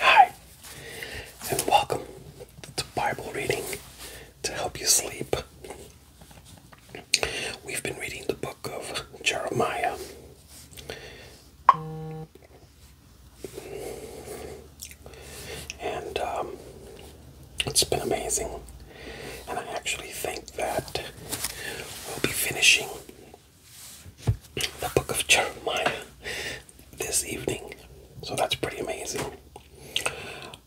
Hi, and welcome to Bible reading to help you sleep. We've been reading the book of Jeremiah. And um, it's been amazing. And I actually think that we'll be finishing the book of Jeremiah this evening. So that's pretty amazing.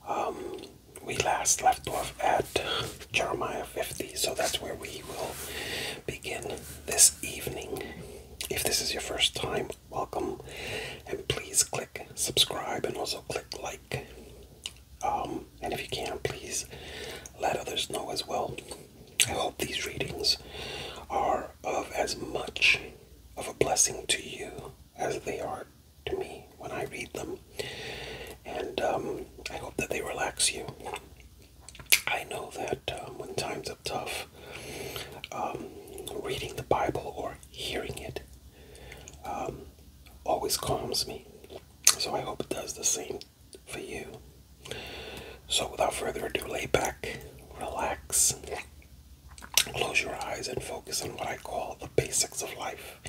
Um, we last left off at Jeremiah 50, so that's where we will begin this evening. If this is your first time, welcome and please click subscribe and also click like. Um, and if you can, please let others know as well. I hope these readings are of as much of a blessing to you as they are to me when I read them. And um, I hope that they relax you. I know that um, when times are tough, reading the Bible or hearing it always calms me. So I hope it does the same for you. So without further ado, lay back, relax, close your eyes, and focus on what I call the basics of life,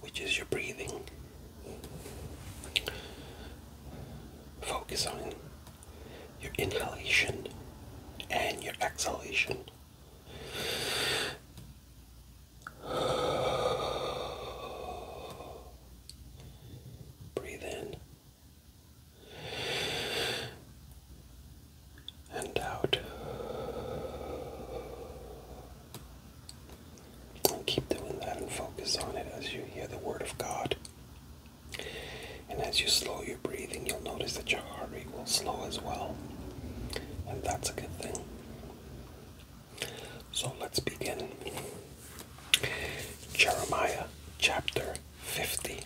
which is your breathing. Focus on your inhalation and your exhalation. Breathe in and out. And keep doing that and focus on it as you hear the Word of God. And as you slow your breathing, you'll notice that your heart rate will slow as well. And that's a good thing. So let's begin. Jeremiah chapter 50.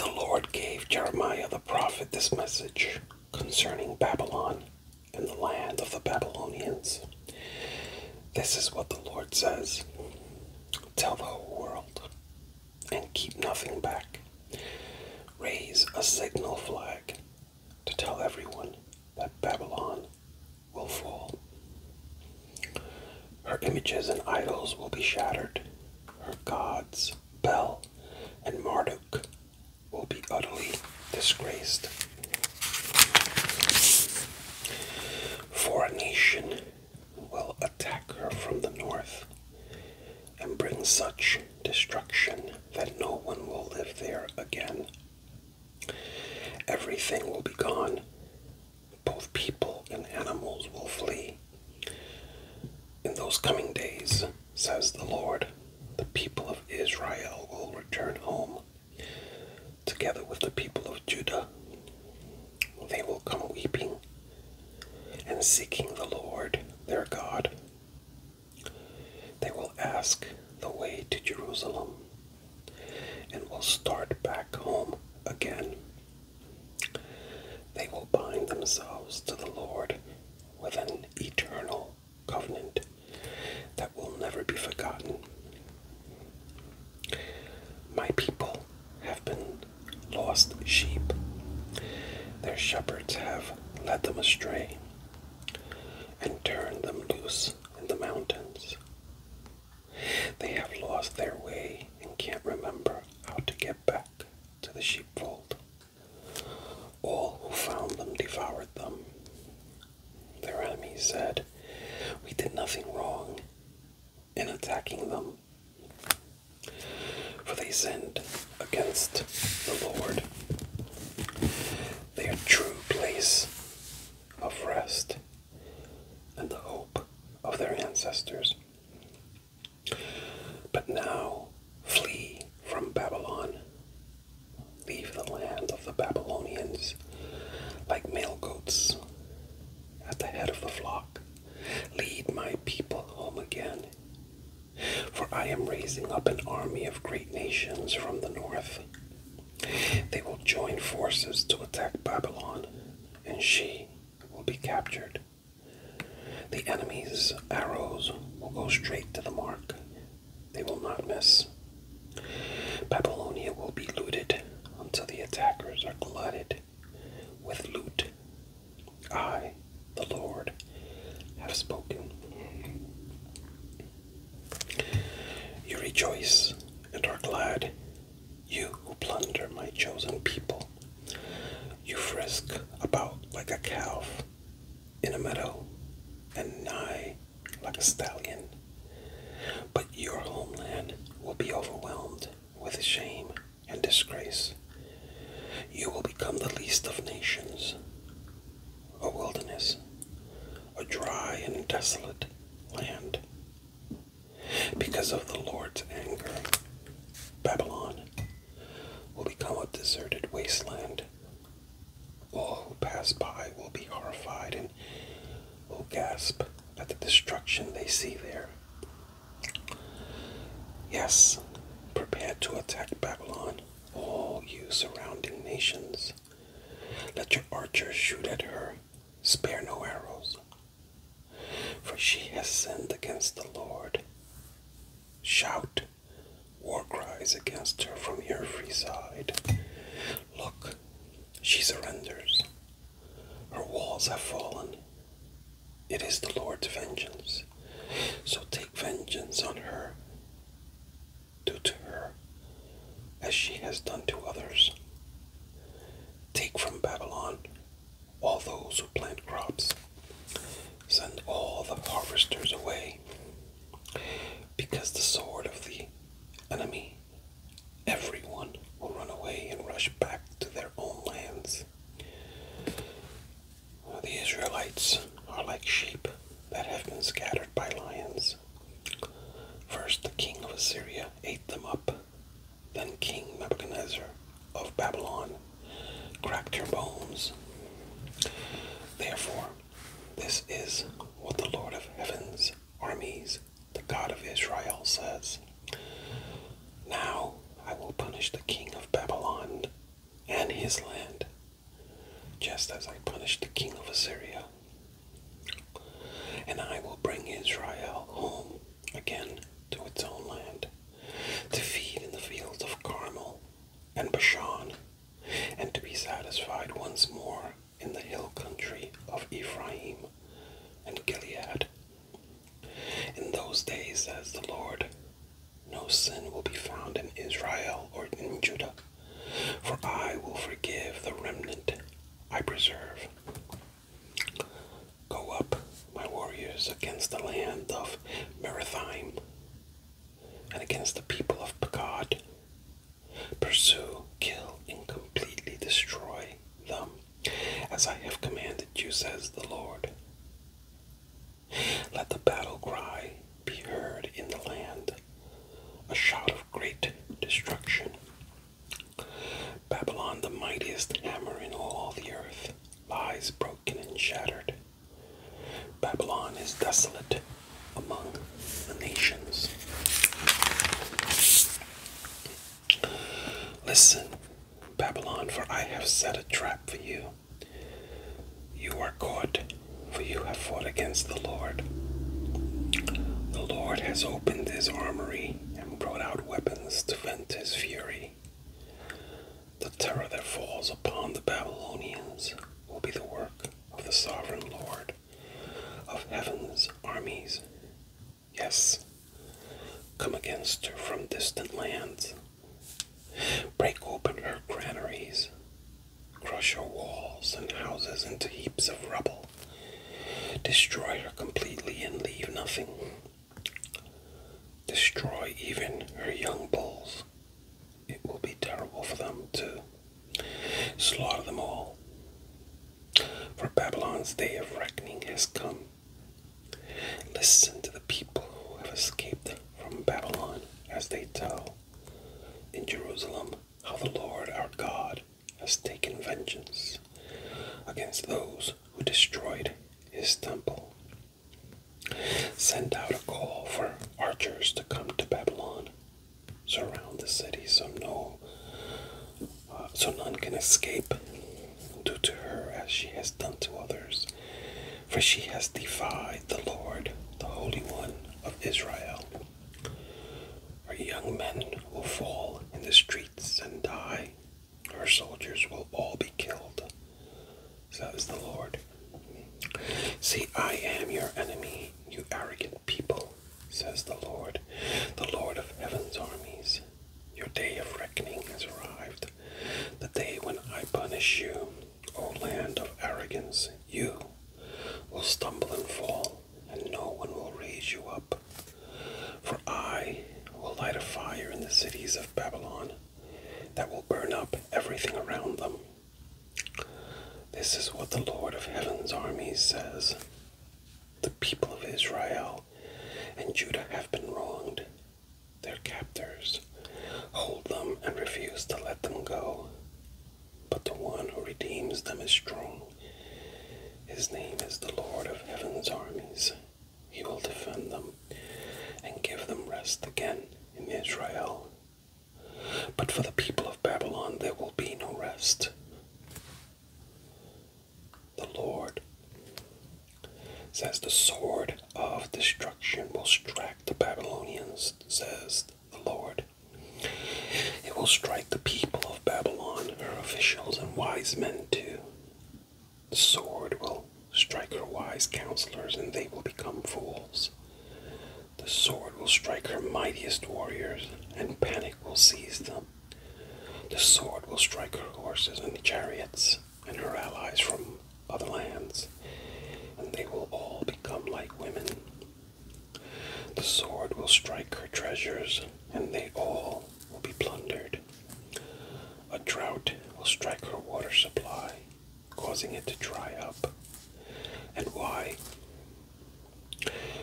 The Lord gave Jeremiah the prophet this message concerning Babylon and the land of the Babylonians. This is what the Lord says Tell the whole world, and keep nothing back. Raise a signal flag to tell everyone that Babylon will fall. Her images and idols will be shattered. Her gods, Bel and Marduk, will be utterly disgraced. For a nation will attack her from the north and bring such destruction that no one will live there again. Everything will be gone. Both people and animals will flee. In those coming days, says the Lord, the people of Israel will return home, together with the people of Judah. They will come weeping and seeking the Lord their God. They will ask the way to Jerusalem and will start back home again. They will bind themselves to the Lord with an eternal covenant that will never be forgotten. My people have been lost sheep. Their shepherds have led them astray and turned them loose in the mountains. They have lost their way and can't remember how to get back to the sheepfold. All who found them devoured them. Their enemies said, We did nothing wrong in attacking them. For they sinned against the Lord. Their true place of rest and the hope of their ancestors. But now flee from Babylon. Leave the land of the Babylonians like male goats at the head of the flock. Lead my people home again for I am raising up an army of great nations from the north. They will join forces to attack Babylon, and she will be captured. The enemy's arrows will go straight to the mark, they will not miss. Babylonia will be looted until the attackers are glutted with lute. I, the Lord, have spoken. You rejoice and are glad, you who plunder my chosen people. You frisk about like a calf in a meadow, and nigh like a stallion. But your homeland will be overwhelmed with shame and disgrace. You will become the least of nations, a wilderness, a dry and desolate land. Because of the Lord's anger, Babylon will become a deserted wasteland. All who pass by will be horrified and will gasp at the destruction they see there. Yes, prepare to attack Babylon, all you surrounding nations. Let your archers shoot at her, spare no arrows. For she has sinned against the Lord. Shout war cries against her from every side. Look, she surrenders. Her walls have fallen. It is the Lord's vengeance. So take vengeance on her. Do to her as she has done to others. Take from Babylon all those who plant crops. Send all the harvesters away. Because the sword of the enemy, everyone will run away and rush back to their own lands. The Israelites are like sheep that have been scattered by lions. First, the king of Assyria ate them up. Then, King Nebuchadnezzar of Babylon cracked their bones. Therefore, this is what the Lord of heaven's armies, the God of Israel, says Now I will punish the king of Babylon and his land, just as I punished the king of Assyria. And I will bring Israel home again to its own land, to feed in the fields of Carmel and Bashan, and to be satisfied once more in the hill country of Ephraim and Gilead. In those days, says the Lord, no sin will be found in Israel or in Judah, for I will forgive the remnant I preserve. Go up, my warriors, against the land of Merathaim and against the people of Pekod. Pursue, kill, and completely destroy them, as I have commanded you, says the Lord. Let the battle cry be heard in the land, a shout of great destruction. Babylon, the mightiest hammer in all the earth, lies broken and shattered. Babylon is desolate among the nations. Listen, Babylon, for I have set a trap for you. You are caught, for you have fought against the Lord. The Lord has opened his armory and brought out weapons to vent his fury. The terror that falls upon the Babylonians will be the work of the sovereign Lord of heaven's armies. Yes, come against her from distant lands, Break open her granaries, crush her walls and houses into heaps of rubble, destroy her completely and leave nothing. Destroy even her young bulls. It will be terrible for them to slaughter them all. For Babylon's day of reckoning has come, Listen to the people who have escaped from Babylon as they tell in Jerusalem how the Lord our God has taken vengeance against those who destroyed his temple. Send out a call for archers to come to Babylon, surround the city so no uh, so none can escape. Do to her as she has done to others, for she has defied the Lord, the Holy One of Israel. Our young men will fall in the streets and die. our soldiers will all be killed. Says the Lord. See, I am your enemy, you arrogant people, says the Lord, the Lord of heaven's armies. Your day of reckoning has arrived, the day when I punish you O land of arrogance, you will stumble and fall, and no one will raise you up. For I will light a fire in the cities of Babylon that will burn up everything around them. This is what the Lord of heaven's armies says. The people of Israel and Judah have been wronged, their captors, hold them, and refuse to let them go. But the one who redeems them is strong. His name is the Lord of heaven's armies. He will defend them and give them rest again in Israel. But for the people of Babylon there will be no rest. The Lord Says the sword of destruction will strike the Babylonians, says the Lord. It will strike the people of Babylon, her officials, and wise men too. The sword will strike her wise counselors, and they will become fools. The sword will strike her mightiest warriors, and panic will seize them. The sword will strike her horses and chariots, and her allies from other lands, and they will all become like women. The sword will strike her treasures, and they all will be plundered. A drought will strike her water supply, causing it to dry up. And why?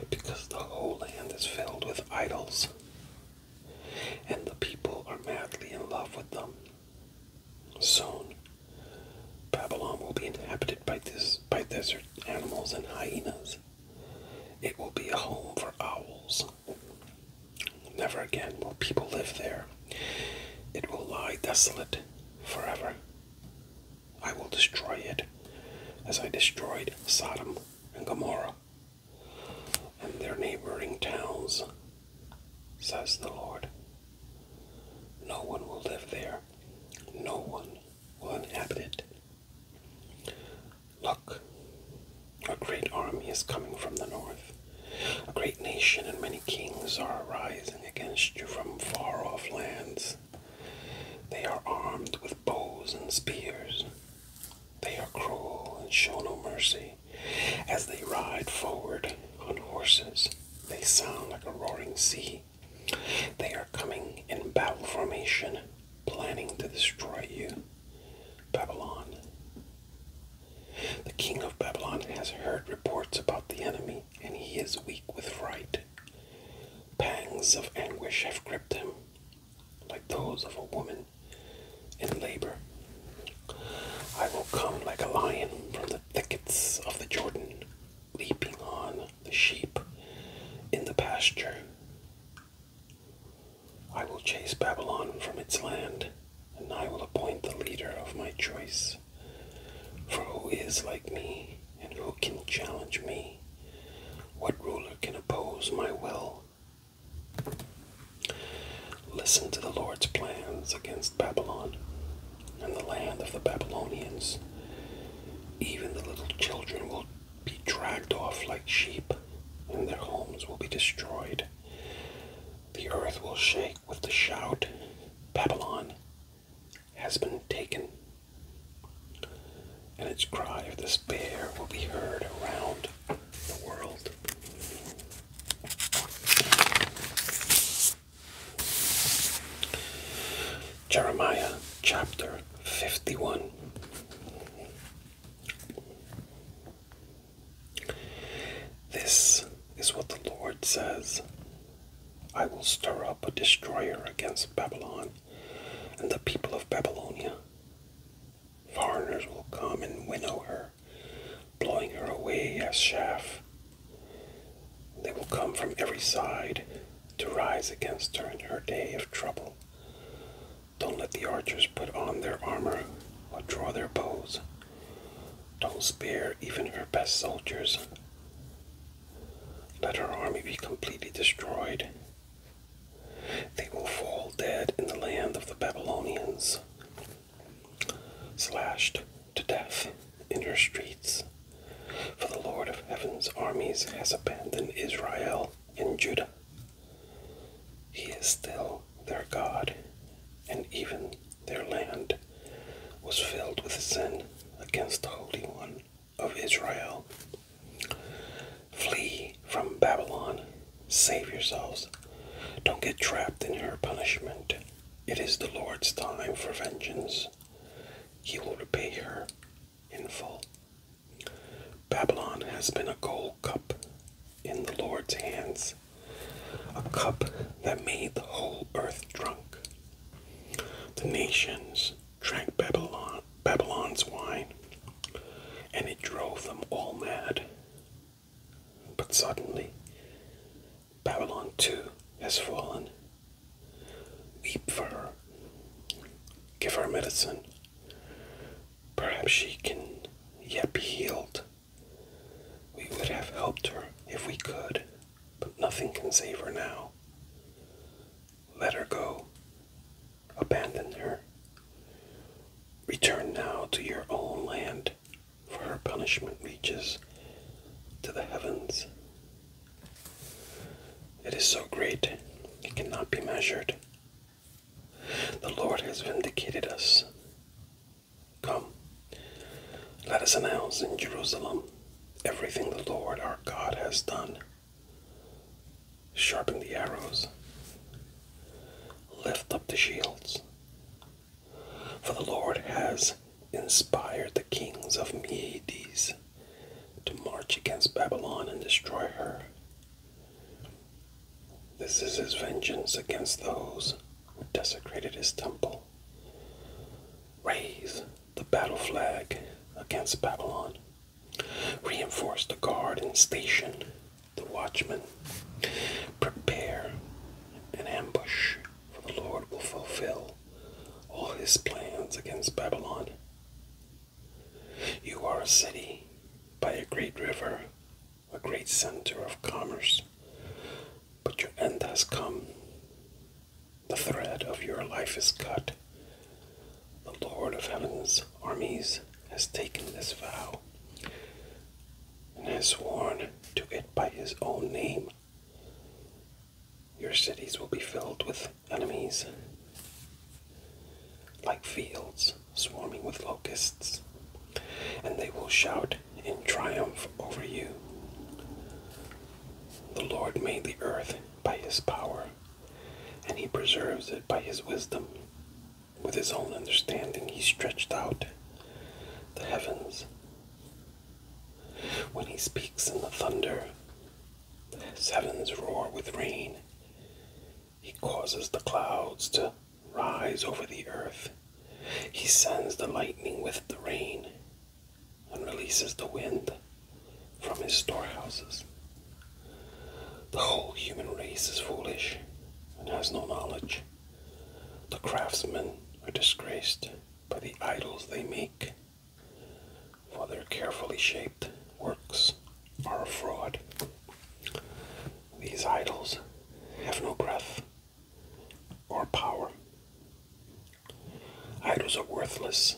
Because the whole land is filled with idols, and the people are madly in love with them. Soon, Babylon will be inhabited by desert animals and hyenas. It will be a home for owls. Never again will people live there. It will lie desolate forever. I will destroy it as I destroyed Sodom and Gomorrah and their neighboring towns says the Lord. No one will live there, no one will inhabit it. Look, a great army is coming from the north. A great nation and many kings are arising against you from far off lands. They are armed with bows and spears. They are cruel and show no mercy. As they ride forward on horses, they sound like a roaring sea. They are coming in battle formation, planning to destroy you, Babylon. The king of Babylon has heard reports about the enemy, and he is weak with fright. Pangs of anguish have gripped him, like those of a woman in labor. I will come like a lion from the thickets of the Jordan, leaping on the sheep in the pasture. I will chase Babylon from its land, and I will appoint the leader of my choice. For who is like me, and who can challenge me? What ruler can oppose my will? Listen to the Lord's plans against Babylon and the land of the Babylonians. Even the little children will be dragged off like sheep, and their homes will be destroyed. The earth will shake with the shout Babylon has been taken, and its cry of despair will be heard around the world. Jeremiah chapter 51. This is what the Lord says I will stir up a destroyer against Babylon and the people of Babylonia. Foreigners will come and winnow her blowing her away as chaff. They will come from every side to rise against her in her day of trouble. Don't let the archers put on their armor or draw their bows. Don't spare even her best soldiers. Let her army be completely destroyed. They will fall dead in the land of the Babylonians slashed to death in her streets. For the Lord of heaven's armies has abandoned Israel and Judah. He is still their God, and even their land was filled with sin against the Holy One of Israel. Flee from Babylon, save yourselves. Don't get trapped in her punishment. It is the Lord's time for vengeance. He will repay her in full. Babylon has been a gold cup in the Lord's hands, a cup that made the whole earth drunk. The nations drank Babylon's wine, and it drove them all mad. But suddenly, Babylon too has fallen. Weep for her. Give her medicine. Perhaps she can yet be healed. We would have helped her if we could, but nothing can save her now. Let her go. Abandon her. Return now to your own land for her punishment reaches to the heavens. It is so great, it cannot be measured. The Lord has vindicated us. Come, let us announce in Jerusalem everything the Lord our God has done. Sharpen the arrows, lift up the shields, for the Lord has inspired the kings of Medes to march against Babylon and destroy her. This is his vengeance against those who desecrated his temple. Raise the battle flag against Babylon. Reinforce the guard and station the watchmen. Prepare an ambush for the Lord will fulfill all his plans against Babylon. You are a city by a great river, a great center of commerce, but your end has come. The thread of your life is cut. The Lord of heaven's armies has taken this vow and has sworn to it by his own name your cities will be filled with enemies, like fields swarming with locusts, and they will shout in triumph over you. The Lord made the earth by his power, and he preserves it by his wisdom. With his own understanding, he stretched out the heavens. When he speaks in the thunder, the heavens roar with rain. He causes the clouds to rise over the earth. He sends the lightning with the rain and releases the wind from his storehouses. The whole human race is foolish and has no knowledge. The craftsmen are disgraced by the idols they make, for their carefully shaped works are a fraud. These idols have no breath or power. Idols are worthless.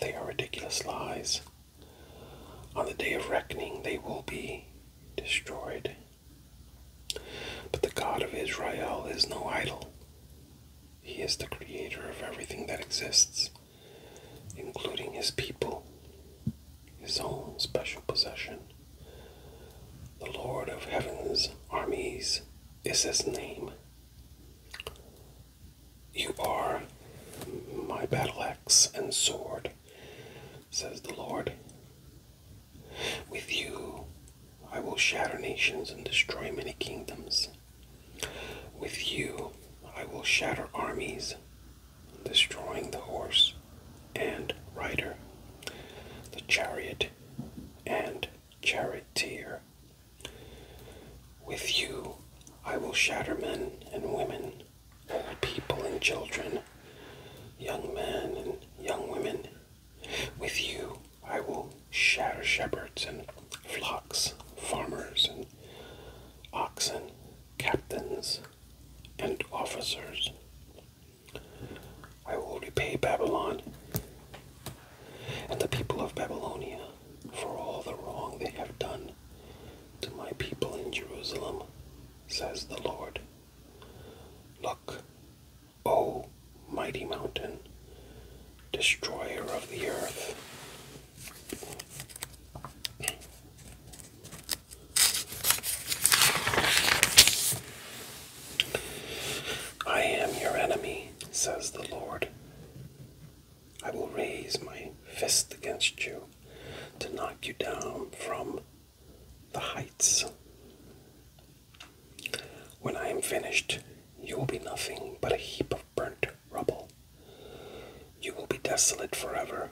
They are ridiculous lies. On the day of reckoning, they will be destroyed but the God of Israel is no idol. He is the creator of everything that exists, including his people, his own special possession. The Lord of heaven's armies is his name. You are my battle axe and sword, says the Lord. With you I will shatter nations and destroy many kingdoms. With you I will shatter armies, destroying the horse and rider, the chariot and charioteer. With you I will shatter men and women, old people and children, young men and young women, with you I will shatter shepherds and flocks, farmers and oxen, captains and officers. I will repay Babylon and the people of Babylonia for all the wrong they have done to my people in Jerusalem, says the Lord. Look, O mighty mountain, destroyer of the earth. I am your enemy, says the Lord. I will raise my fist against you to knock you down from the heights. When I am finished, you will be nothing but a heap of burnt rubble. You will be desolate forever.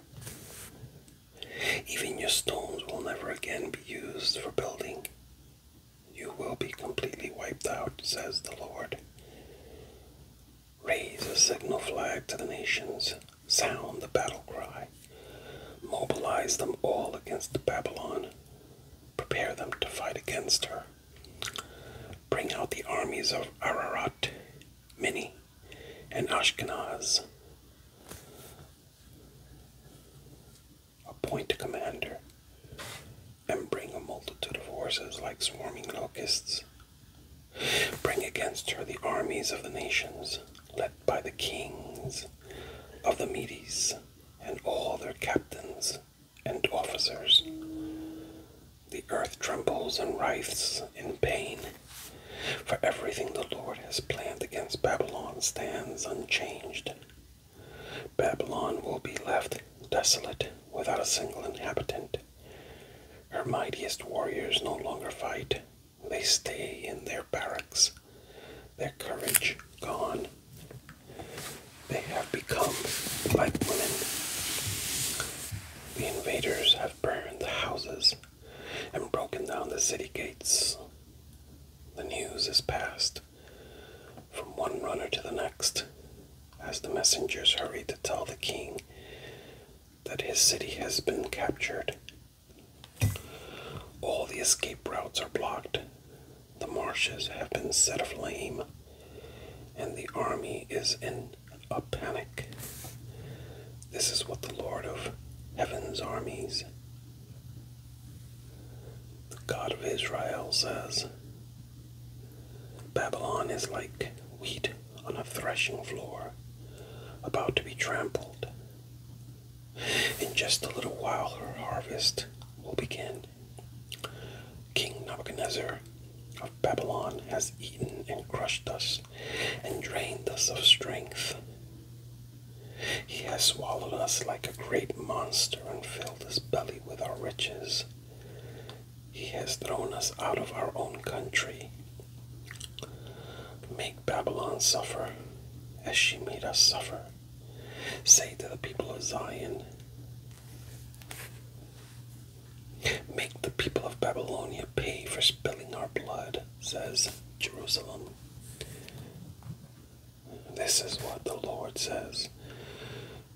Even your stones will never again be used for building. You will be completely wiped out, says the Lord. Raise a signal flag to the nations, sound the battle cry, mobilize them all against Babylon prepare them to fight against her. Bring out the armies of Ararat, Mini, and Ashkenaz. Appoint a commander and bring a multitude of horses like swarming locusts. Bring against her the armies of the nations, led by the kings of the Medes and all their captains, and officers. The earth trembles and writhes in pain, for everything the Lord has planned against Babylon stands unchanged. Babylon will be left desolate without a single inhabitant. Her mightiest warriors no longer fight. They stay in their barracks, their courage gone, they have become like women. The invaders have burned the houses and broken down the city gates. The news is passed from one runner to the next as the messengers hurry to tell the king that his city has been captured. All the escape routes are blocked, the marshes have been set aflame, and the army is in a panic. This is what the Lord of Heaven's armies, the God of Israel, says Babylon is like wheat on a threshing floor, about to be trampled. In just a little while, her harvest will begin. King Nebuchadnezzar of Babylon has eaten and crushed us and drained us of strength. He has swallowed us like a great monster and filled his belly with our riches. He has thrown us out of our own country. Make Babylon suffer as she made us suffer. Say to the people of Zion, Make the people of Babylonia pay for spilling our blood, says Jerusalem. This is what the Lord says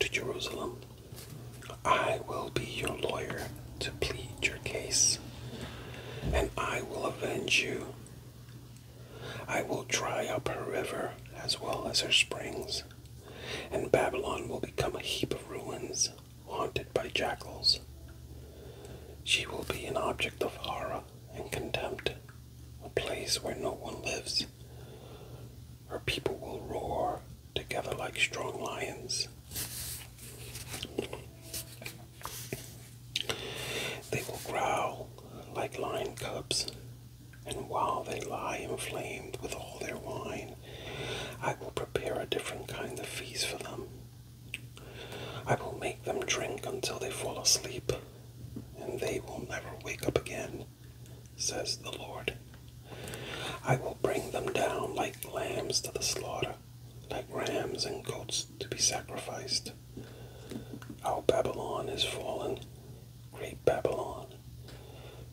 to Jerusalem I will be your lawyer to plead your case, and I will avenge you I will dry up her river as well as her springs, and Babylon will become a heap of ruins haunted by jackals. She will be an object of horror and contempt, a place where no one lives. Her people will roar together like strong lions. They will growl like lion cubs and while they lie inflamed with all their wine, I will prepare a different kind of feast for them. I will make them drink until they fall asleep, and they will never wake up again, says the Lord. I will bring them down like lambs to the slaughter, like rams and goats to be sacrificed. Our Babylon is fallen, great Babylon,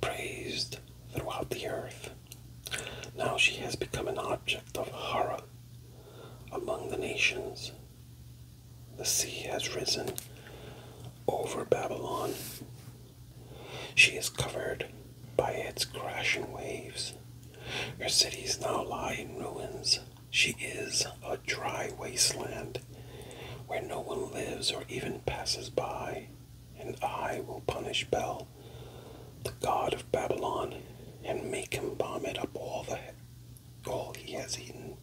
praised throughout the earth. Now she has become an object of horror among the nations. The sea has risen over Babylon. She is covered by its crashing waves. Her cities now lie in ruins. She is a dry wasteland where no one lives or even passes by, and I will punish Bel, the god of Babylon, and make him vomit up all the all he has eaten.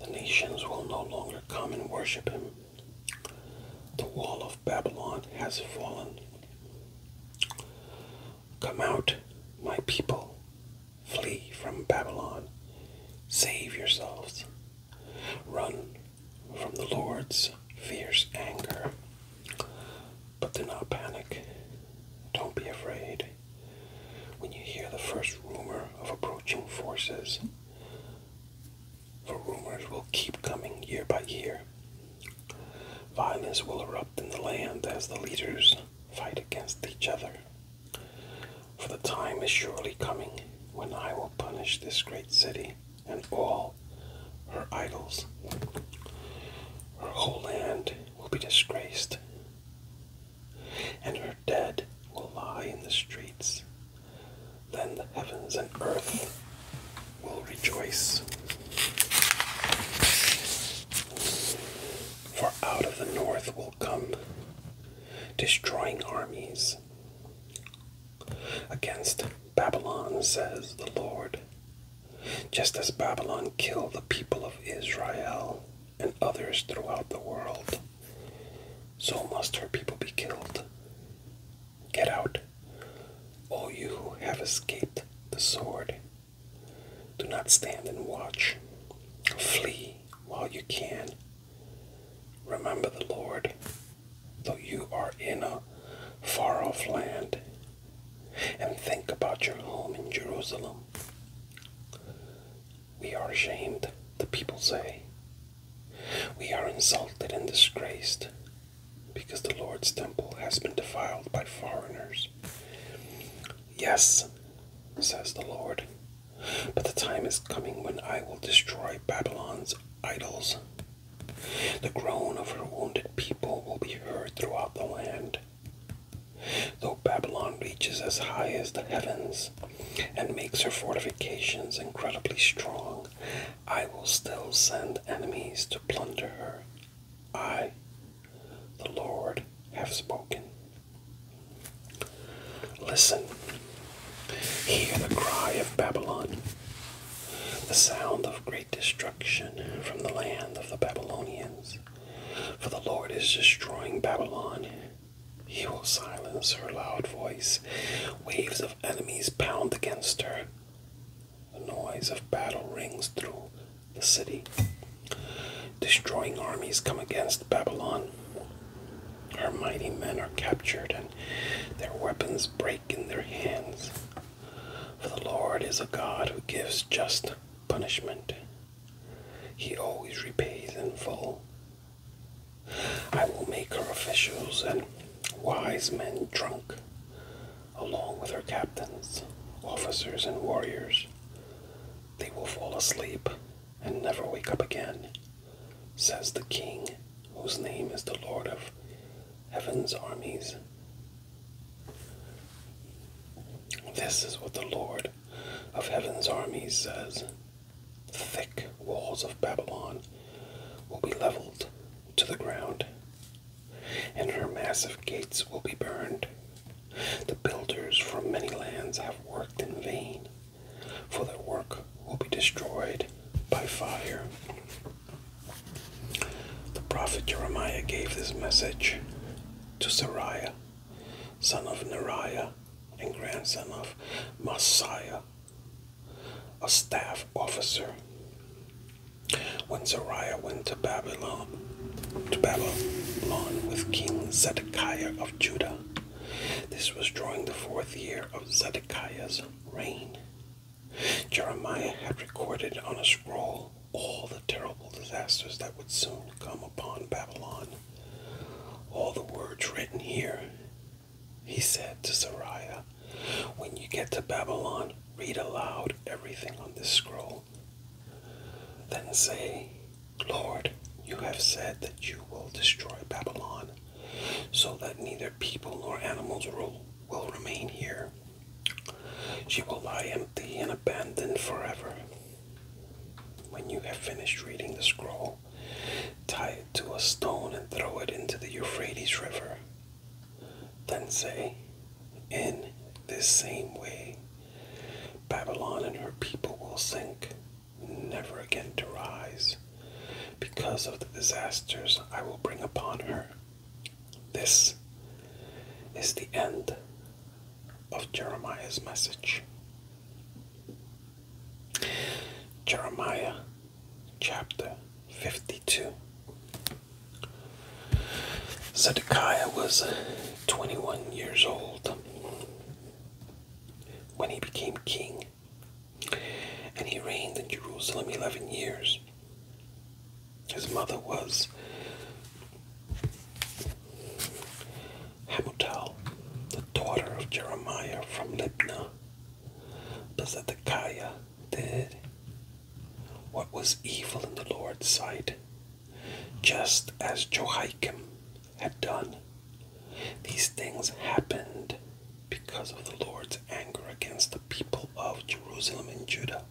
The nations will no longer come and worship him. The wall of Babylon has fallen. Come out, my people, Flee from Babylon. Save yourselves. Run from the Lord's fierce anger. But do not panic. Don't be afraid. When you hear the first rumor of approaching forces, for rumors will keep coming year by year. Violence will erupt in the land as the leaders fight against each other. For the time is surely coming when I will punish this great city and all her idols. Her whole land will be disgraced, and her dead will lie in the streets. Then the heavens and earth will rejoice. For out of the north will come destroying armies. Against Babylon, says the Lord, just as Babylon killed the people of Israel and others throughout the world, so must her people be killed. Get out, all you who have escaped the sword. Do not stand and watch. Flee while you can, Remember the Lord, though you are in a far off land, and think about your home in Jerusalem. We are ashamed, the people say. We are insulted and disgraced because the Lord's temple has been defiled by foreigners. Yes, says the Lord, but the time is coming when I will destroy Babylon's idols. The groan of her wounded people will be heard throughout the land. Though Babylon reaches as high as the heavens and makes her fortifications incredibly strong, I will still send enemies to plunder her. I, the Lord, have spoken. Listen, hear the cry of Babylon, the sound of great destruction from the land of the Babylonians. For the Lord is destroying Babylon. He will silence her loud voice. Waves of enemies pound against her. The noise of battle rings through the city. Destroying armies come against Babylon. Our mighty men are captured, and their weapons break in their hands. For the Lord is a God who gives just punishment. He always repays in full. I will make her officials and wise men drunk, along with her captains, officers, and warriors. They will fall asleep and never wake up again says the King, whose name is the Lord of Heaven's armies. This is what the Lord of Heaven's armies says. The thick walls of Babylon will be leveled to the ground, and her massive gates will be burned. The builders from many lands have worked in vain for their work will be destroyed by fire. The prophet Jeremiah gave this message to Sariah, son of Neriah and grandson of Messiah, a staff officer. When Zariah went to Babylon, to Babylon with King Zedekiah of Judah, this was during the fourth year of Zedekiah's reign. Jeremiah had recorded on a scroll all the terrible disasters that would soon come upon Babylon. All the words written here, he said to Sariah, when you get to Babylon, read aloud everything on this scroll. Then say, Lord, you have said that you will destroy Babylon, so that neither people nor animals will remain here. She will lie empty and abandoned forever. When you have finished reading the scroll, tie it to a stone and throw it into the Euphrates River. Then say, In this same way, Babylon and her people will sink, never again to rise because of the disasters I will bring upon her. This is the end of Jeremiah's message. Jeremiah chapter 52. Zedekiah was 21 years old when he became king and he reigned in Jerusalem eleven years. His mother was Hamutal, the daughter of Jeremiah from Libnah. But Zedekiah did what was evil in the Lord's sight, just as Jehoiakim, had done. These things happened because of the Lord's anger against the people of Jerusalem and Judah,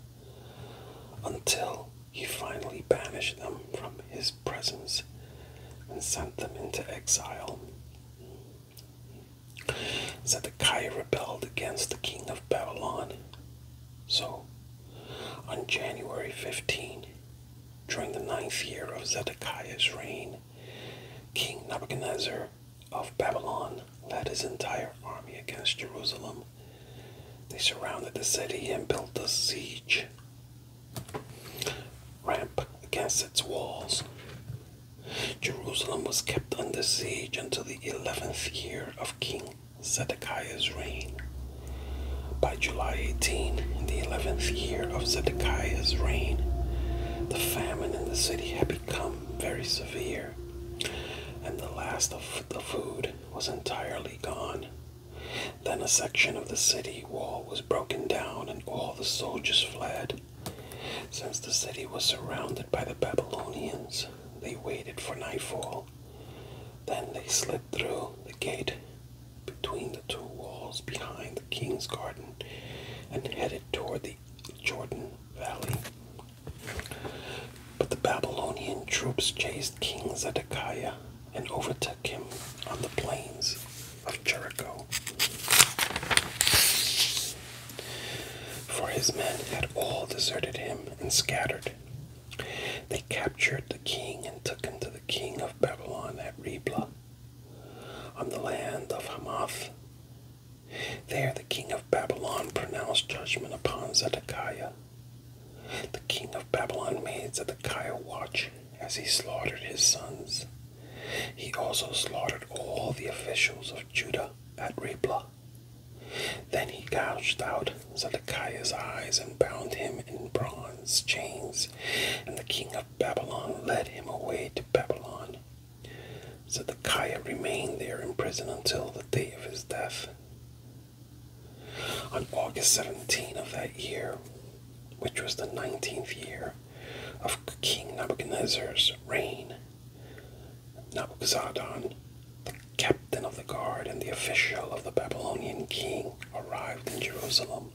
until he finally banished them from his presence and sent them into exile. Zedekiah rebelled against the king of Babylon. So, on January 15, during the ninth year of Zedekiah's reign, King Nebuchadnezzar of Babylon led his entire army against Jerusalem. They surrounded the city and built a siege ramp against its walls. Jerusalem was kept under siege until the 11th year of King Zedekiah's reign. By July 18, in the 11th year of Zedekiah's reign, the famine in the city had become very severe, and the last of the food was entirely gone. Then a section of the city wall was broken down, and all the soldiers fled. Since the city was surrounded by the Babylonians, they waited for nightfall. Then they slipped through the gate between the two walls behind the king's garden and headed toward the Jordan Valley. But the Babylonian troops chased King Zedekiah and overtook him on the plains of Jericho. For his men had all deserted him and scattered. They captured the king and took him to the king of Babylon at Riblah, on the land of Hamath. There the king of Babylon pronounced judgment upon Zedekiah. The king of Babylon made Zedekiah watch as he slaughtered his sons. He also slaughtered all the officials of Judah at Riblah. Then he gouged out Zedekiah's eyes and bound him in bronze chains, and the king of Babylon led him away to Babylon. So the Zedekiah remained there in prison until the day of his death. On August 17 of that year, which was the 19th year of King Nebuchadnezzar's reign, Nebuzaradan, the captain of the guard and the official of the Babylonian king, arrived in Jerusalem.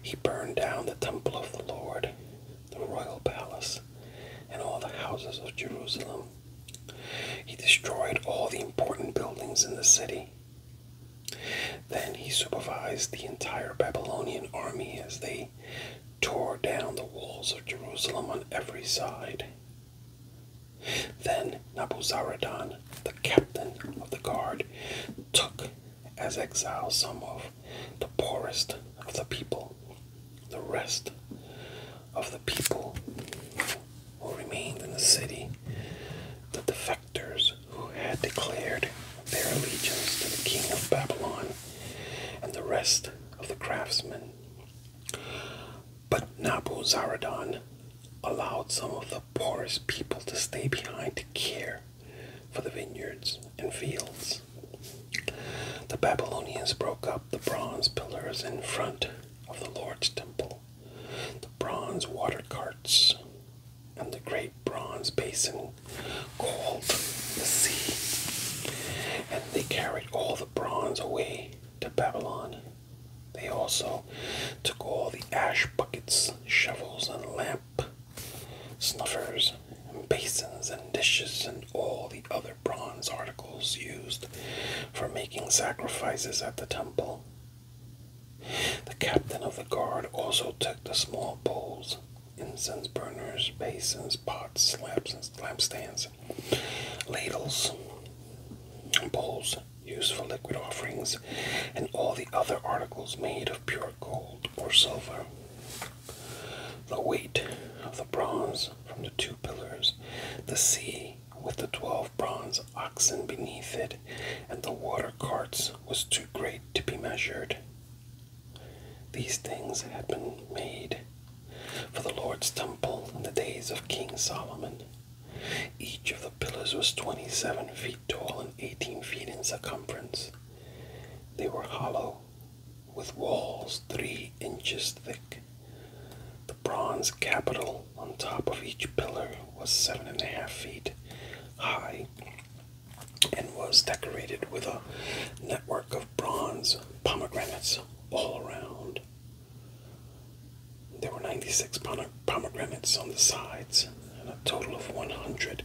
He burned down the temple of the Lord the royal palace, and all the houses of Jerusalem. He destroyed all the important buildings in the city. Then he supervised the entire Babylonian army as they tore down the walls of Jerusalem on every side. Then Nabuzaradan, the captain of the guard, took as exiles some of the poorest of the people, the rest of the people who remained in the city, the defectors who had declared their allegiance to the king of Babylon, and the rest of the craftsmen. But Nabuzaradan allowed some of the poorest people to stay behind to care for the vineyards and fields. The Babylonians broke up the bronze pillars in front of the Lord's temple, the bronze water carts, and the great bronze basin called the sea. And they carried all the bronze away to Babylon. They also took all the ash buckets, shovels, and lamp snuffers, basins, and dishes, and all the other bronze articles used for making sacrifices at the temple. The captain of the guard also took the small bowls, incense burners, basins, pots, lamps, and lampstands, ladles, bowls used for liquid offerings, and all the other articles made of pure gold or silver. The weight of the bronze from the two pillars, the sea with the twelve bronze oxen beneath it, and the water carts was too great to be measured. These things had been made for the Lord's temple in the days of King Solomon. Each of the pillars was twenty seven feet tall and eighteen feet in circumference. They were hollow with walls three inches thick. The bronze capital on top of each pillar was seven and a half feet high and was decorated with a network of bronze pomegranates all around. There were 96 pomegranates on the sides and a total of 100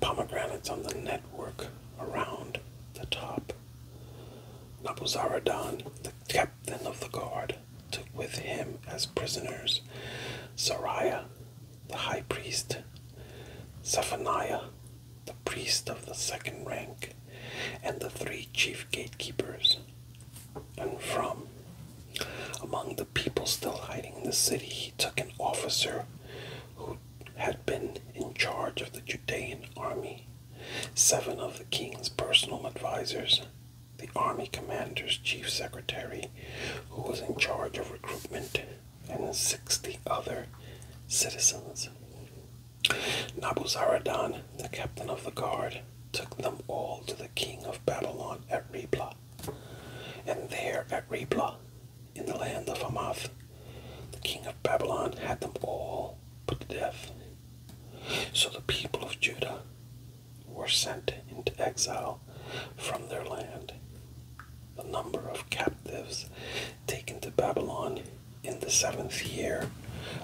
pomegranates on the network around the top. Nabuzaradan, the captain of the guard, took with him as prisoners Zoraya, the high priest, Zephaniah, the priest of the second rank, and the three chief gatekeepers. And from among the people still hiding in the city, he took an officer who had been in charge of the Judean army, seven of the king's personal advisors, the army commander's chief secretary, who was in charge of recruitment, and 60 other citizens. Nabuzaradan, the captain of the guard, took them all to the king of Babylon at Riblah. And there at Riblah, in the land of Amath, The king of Babylon had them all put to death. So the people of Judah were sent into exile from their land. The number of captives taken to Babylon in the seventh year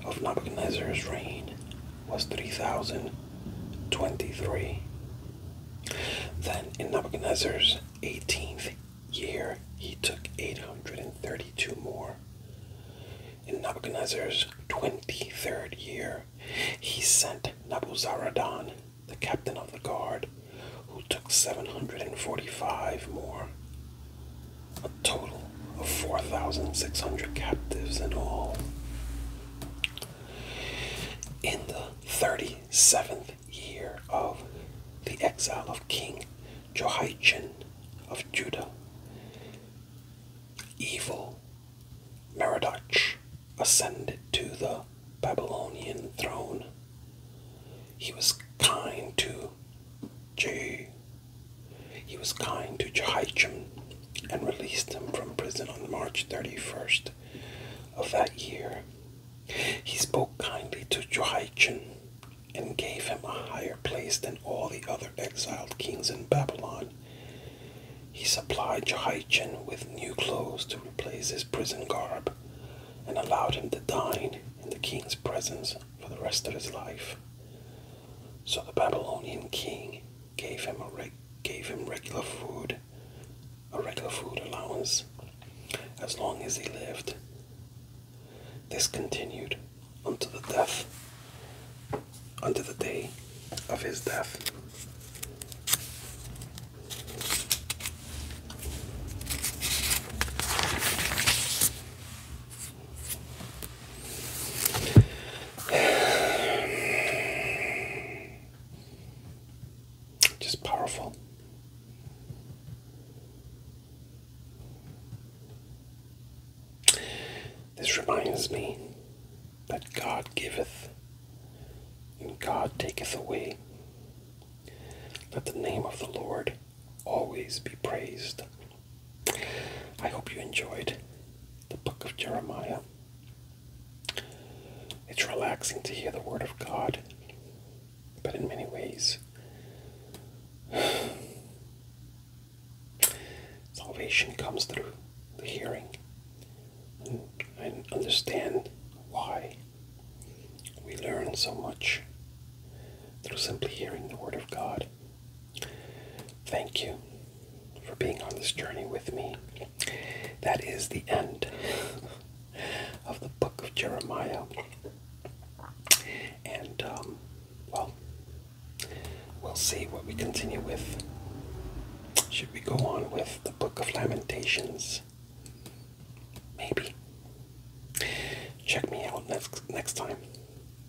of Nebuchadnezzar's reign was 3,023. Then in Nebuchadnezzar's eighteenth year he took 832 more. In Nebuchadnezzar's 23rd year, he sent Nabuzaradan, the captain of the guard, who took 745 more. A total of 4,600 captives in all. In the 37th year of the exile of King Jehoiachin of Judah, evil Merodach ascended to the Babylonian throne. He was kind to He was kind to Jehoiachin and released him from prison on March 31st of that year he spoke kindly to Jehoiachin and gave him a higher place than all the other exiled kings in Babylon. He supplied Jehoiachin with new clothes to replace his prison garb and allowed him to dine in the king's presence for the rest of his life. So the Babylonian king gave him, regular food a regular food allowance as long as he lived. This continued until the death until the day of his death. Just powerful. This reminds me that God giveth and God taketh away. Let the name of the Lord always be praised. I hope you enjoyed the book of Jeremiah. It's relaxing to hear the word of God but in many ways, salvation comes through the hearing. And I understand why we learn so much through simply hearing the Word of God. Thank you for being on this journey with me. That is the end of the book of Jeremiah. And, um, well, we'll see what we continue with. Should we go on with the Book of Lamentations? Maybe. Check me out next, next time,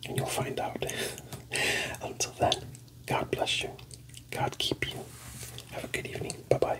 and you'll find out. Until then, God bless you. God keep you. Have a good evening. Bye bye.